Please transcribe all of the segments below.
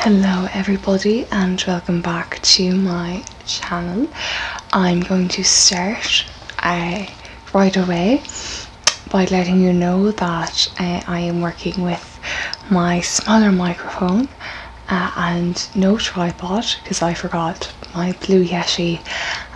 Hello everybody and welcome back to my channel. I'm going to start uh, right away by letting you know that uh, I am working with my smaller microphone uh, and no tripod because I forgot my blue Yeti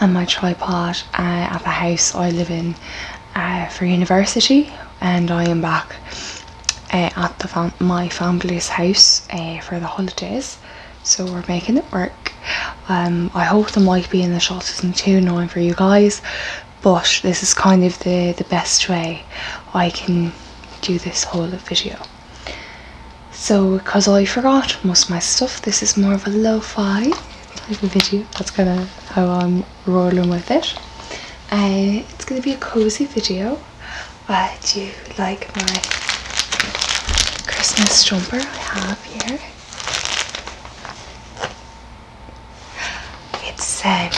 and my tripod uh, at the house I live in uh, for university and I am back uh, at the my family's house uh, for the holidays so we're making it work um, I hope there might be in the short season too annoying for you guys but this is kind of the, the best way I can do this whole video so because I forgot most of my stuff this is more of a lo-fi like the video. That's kind of how I'm rolling with it. Uh, it's going to be a cozy video. Uh, do you like my Christmas jumper I have here? It's, um,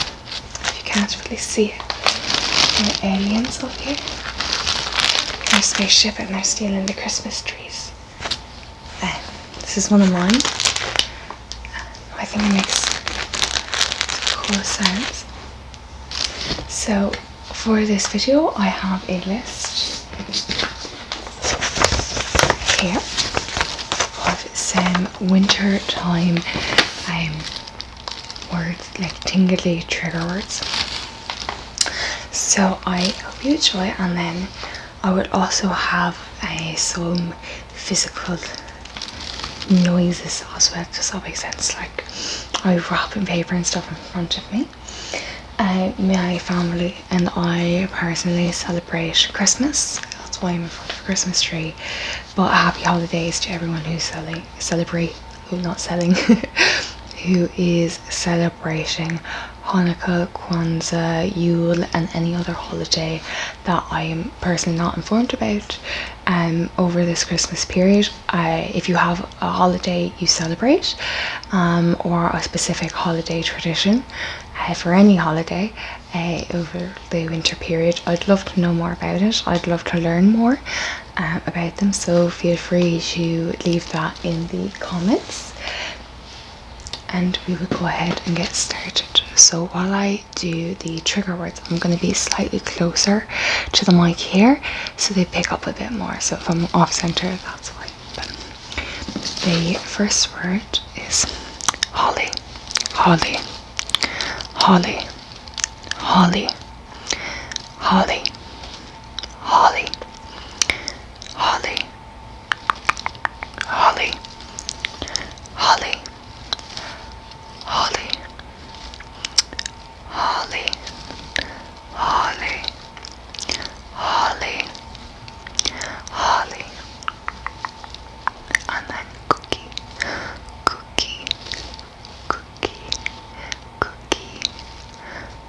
you can't really see it, there are aliens up here. Their spaceship and they're stealing the Christmas trees. Eh, this is one of mine. I think it makes cool sounds. So for this video I have a list here of some winter time um, words like tingly trigger words. So I hope you enjoy and then I would also have uh, some physical noises as well, does that make sense? Like I would wrap paper and stuff in front of me. Uh, my family and I personally celebrate Christmas. That's why I'm in front of a Christmas tree. But happy holidays to everyone who's selling, celebrate, who not selling, who is celebrating celebrating Hanukkah, Kwanzaa, Yule, and any other holiday that I am personally not informed about. Um, over this Christmas period, if you have a holiday you celebrate, um, or a specific holiday tradition, uh, for any holiday uh, over the winter period, I'd love to know more about it. I'd love to learn more uh, about them. So feel free to leave that in the comments and we will go ahead and get started. So while I do the trigger words, I'm going to be slightly closer to the mic here so they pick up a bit more. So if I'm off center, that's why. the first word is holly, holly, holly, holly, holly, holly, holly, Holly, Holly, Holly, Holly, Holly, Holly, Holly, and cookie, cookie, cookie, cookie,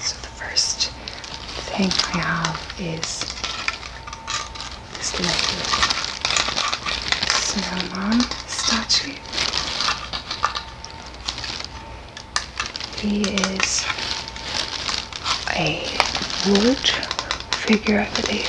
So the first thing I have is this little snowman statue. He is a wood figure, I believe.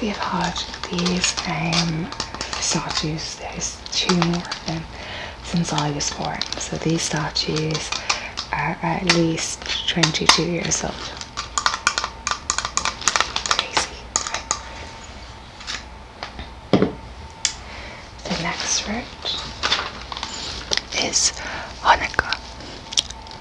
They've had these um, statues, there's two more of them since I was born. So these statues are at least 22 years old. The next route is Hanukkah.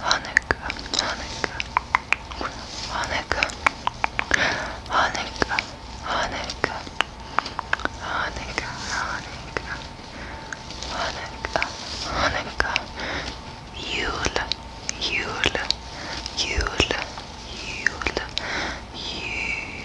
Hanukkah, Hanukkah, Hanukkah, Hanukkah, Hanukkah, Hanukkah, Hanukkah, Hanukkah, Hanukkah, Yule, Yule, Yule, Yule, Yule.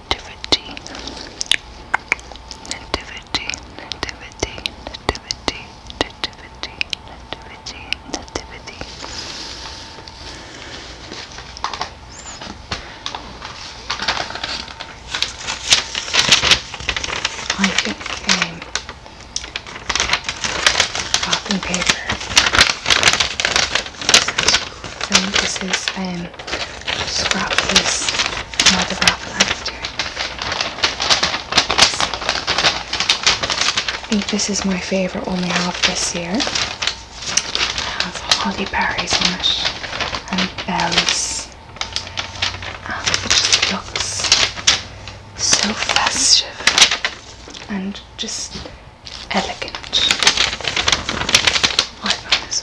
nativity, nativity, nativity, nativity, nativity, nativity, I took a wrapping paper. This think this is um, scrap piece another wrap after. I this is my favourite one we have this year. It has holly berries on it and bells. And looks so festive and just elegant. I love this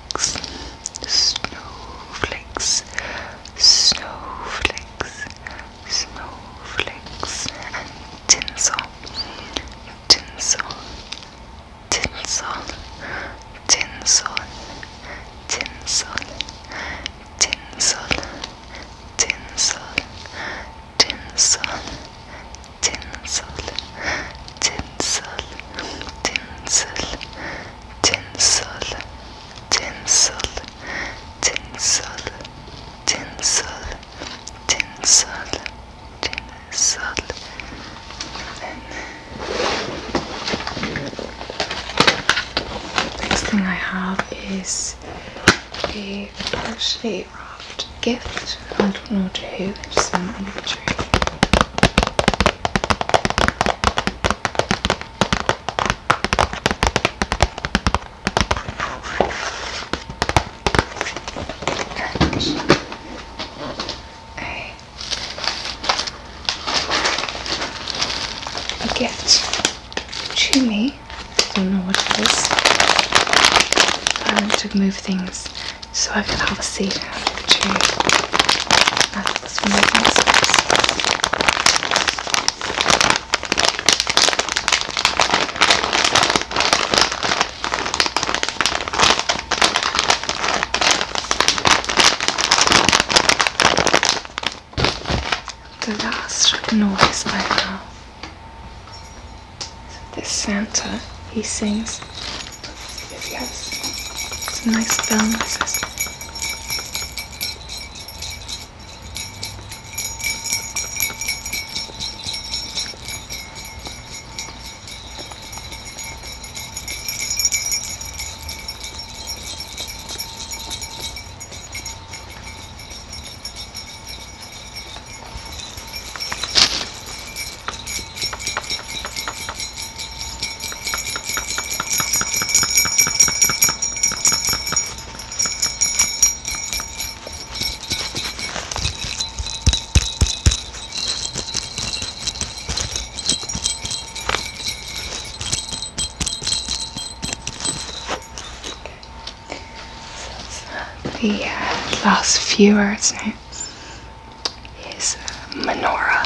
snowflakes, snowflakes, snowflakes, snowflakes, and tinsel, tinsel, tinsel, tinsel, tinsel, tinsel, tinsel, tinsel, tinsel, tinsel, tinsel tinsel, tinsel, tinsel, tinsel, tinsel, tinsel, and next thing I have is a partially wrapped gift. I don't know to who, it's an imagery. A gift to me. I don't know what it is. to move things so I can have a seat the last noise I have. This Santa, he sings Yes, yes. Some nice bell the uh, last few words now is uh, menorah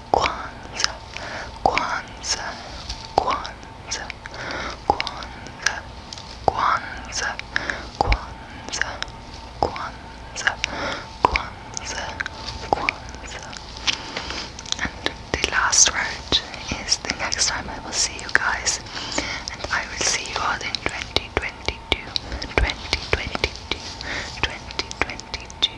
Kwanzaa, Kwanzaa, Kwanzaa, Kwanzaa, Kwanzaa, Kwanzaa, Kwanzaa, Kwanzaa, Kwanzaa. And the last word is the next time I will see you guys, and I will see you all in 2022, 2022, 2022,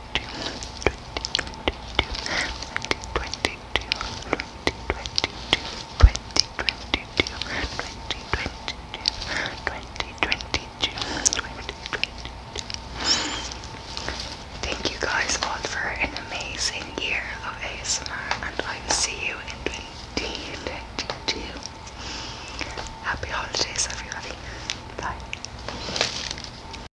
Thank you guys all for an amazing year of ASMR, and I will see you in 2022. Happy holidays, everybody. Bye.